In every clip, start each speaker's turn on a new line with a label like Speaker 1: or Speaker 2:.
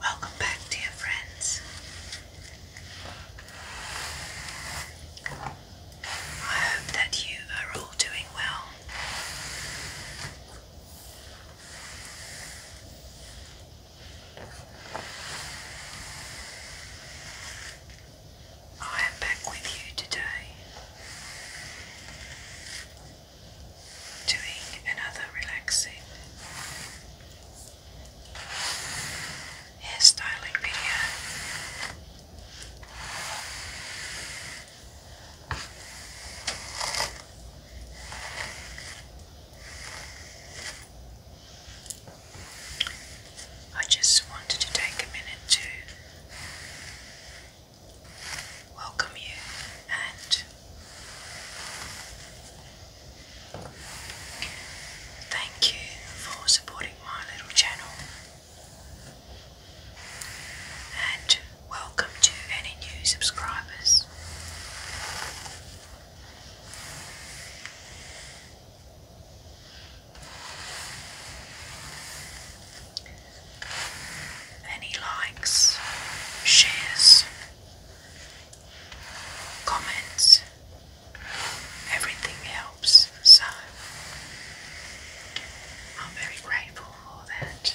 Speaker 1: Welcome back, dear friends. I hope that you are all doing well. I am back with you today, doing another relaxing hairstyling video. I just wanted to take a minute to welcome you and thank you for supporting my little channel. And welcome to any new subscribers. Any likes, shares, comments, everything helps. So I'm very grateful for that.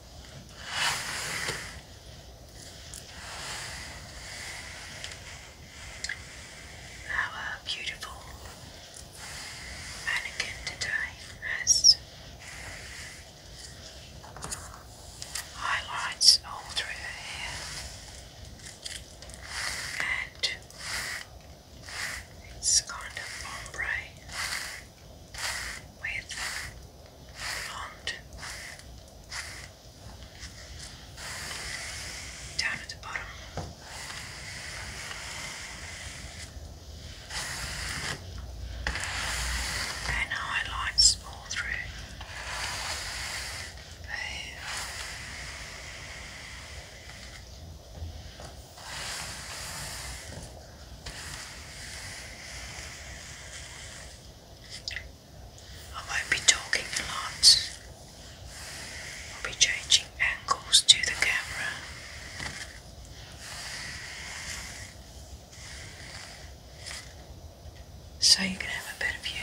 Speaker 1: Our beautiful mannequin today has highlights all through her hair and it's kind of ombre with font down at the bottom. And highlights all through. There. I will be talking a lot. I'll be changing angles to the camera. So you can have a better view.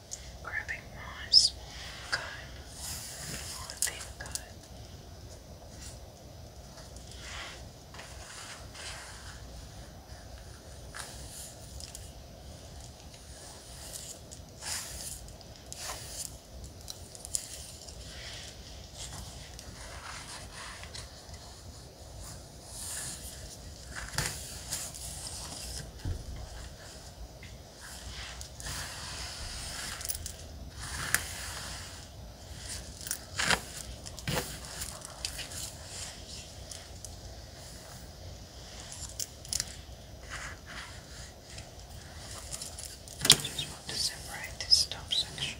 Speaker 1: Grabbing moss. Good. All the thing good just want to separate this top section.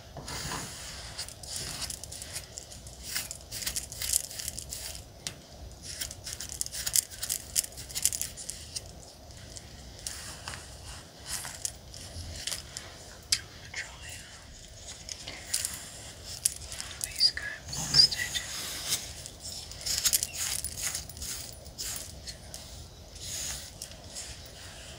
Speaker 1: Try these go instead.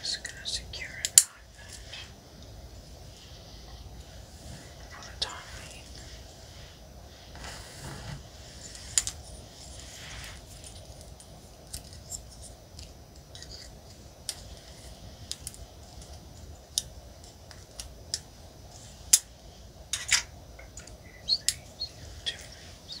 Speaker 1: Just going to secure it like that autonomy. Here's the two rooms.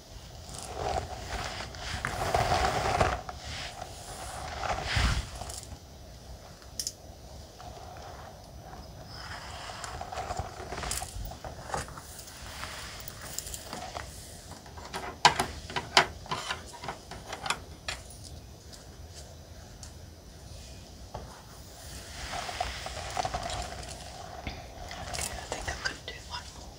Speaker 1: I think I'm going to do one more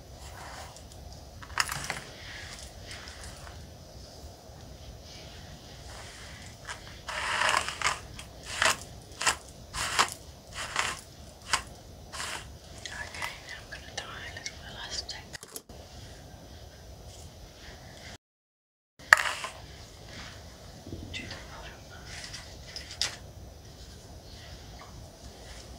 Speaker 1: Okay, now I'm going to tie a little elastic. To the bottom.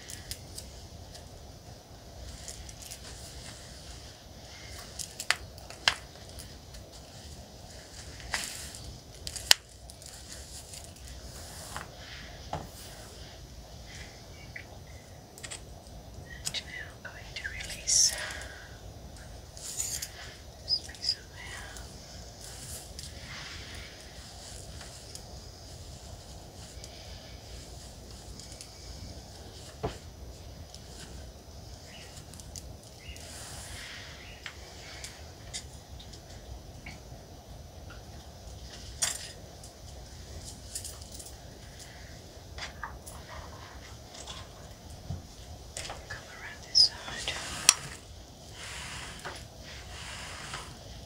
Speaker 1: And now I'm going to release this piece of hair. Come around this side.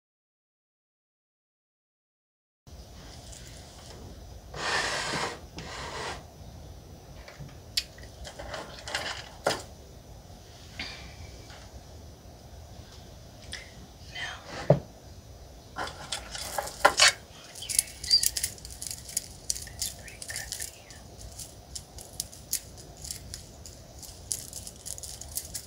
Speaker 1: Now, I'll use this pretty clip here.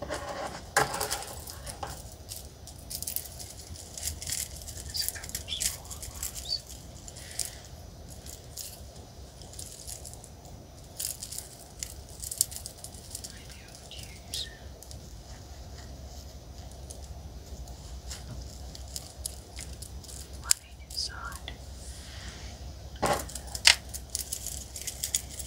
Speaker 1: There's a couple of straw ones. Maybe I would use. One inside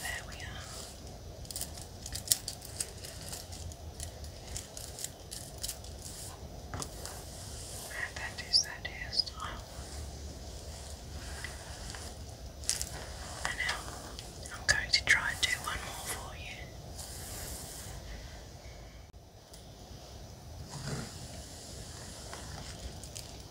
Speaker 1: There we are. that is that hairstyle. And now I'm going to try and do one more for you.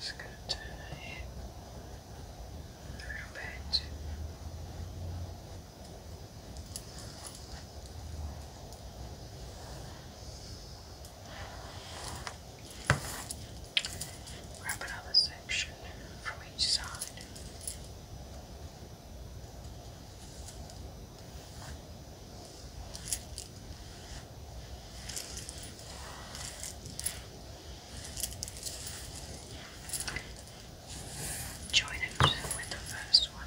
Speaker 1: just going to turn it here a little bit. Okay. Grab another section from each side. Join it with the first one.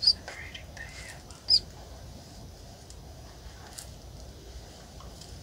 Speaker 1: Separating the hair once more. Good.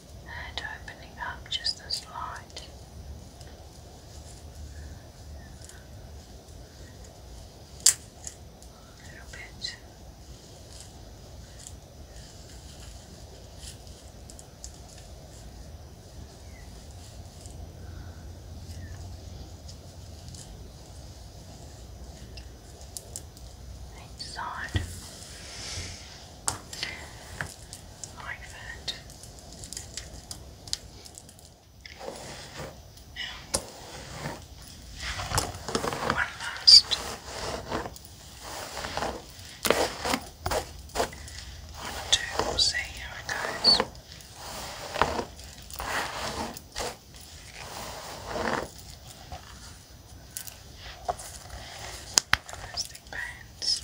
Speaker 1: and opening up just the slide. little bit. Each like that. Now, one last one, 2 see how it goes burns.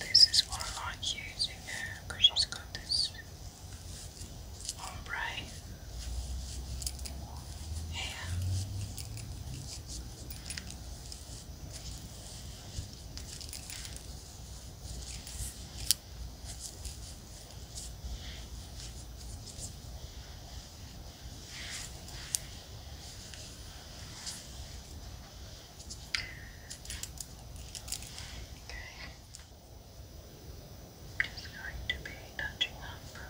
Speaker 1: This is what I like using her uh, because she's got this ombre hair. Okay. Just going to be touching up. Okay.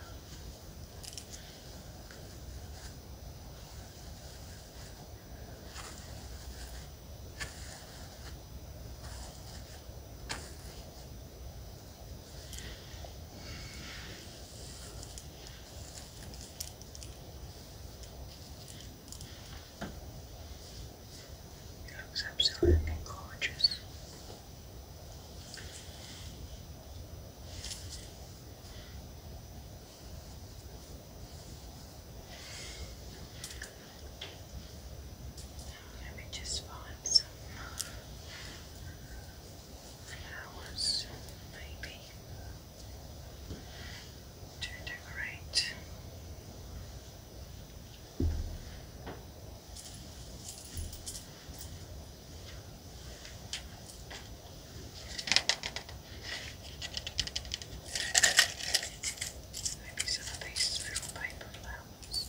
Speaker 1: It looks absolutely gorgeous. Let me just find some flowers, maybe, to decorate. Maybe some of these little paper flowers.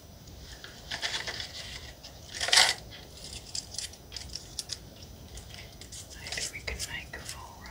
Speaker 1: Maybe we can make a full row.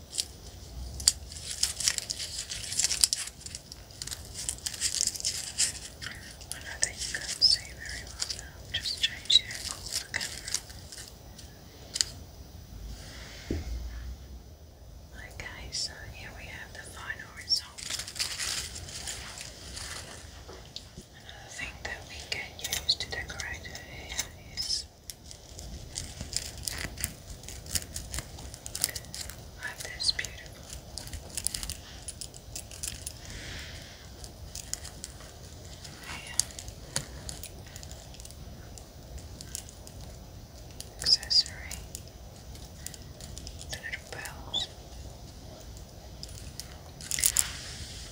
Speaker 1: I know you can see very well now, just change the angle of Okay, so here we have the final result. Another thing that we can use to decorate her Love this beautiful. Accessory. The little bells.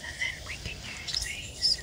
Speaker 1: And then we can use these.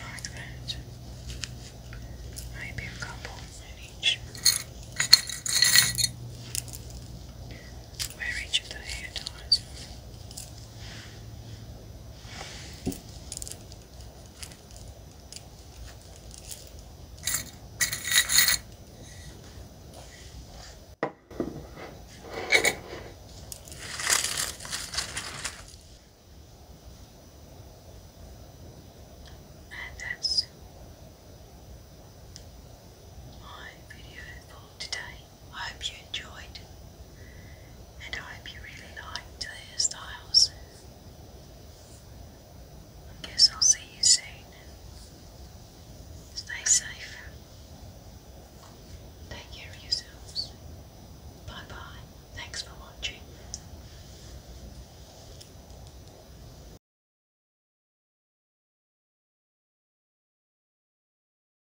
Speaker 1: Like that. Maybe a couple in each. Where each of the hair ties. And that's my video for today. I hope you enjoyed, and I hope you really liked the hairstyles. I guess I'll see you soon. Stay safe. Take care of yourselves. Bye bye. Thanks for watching.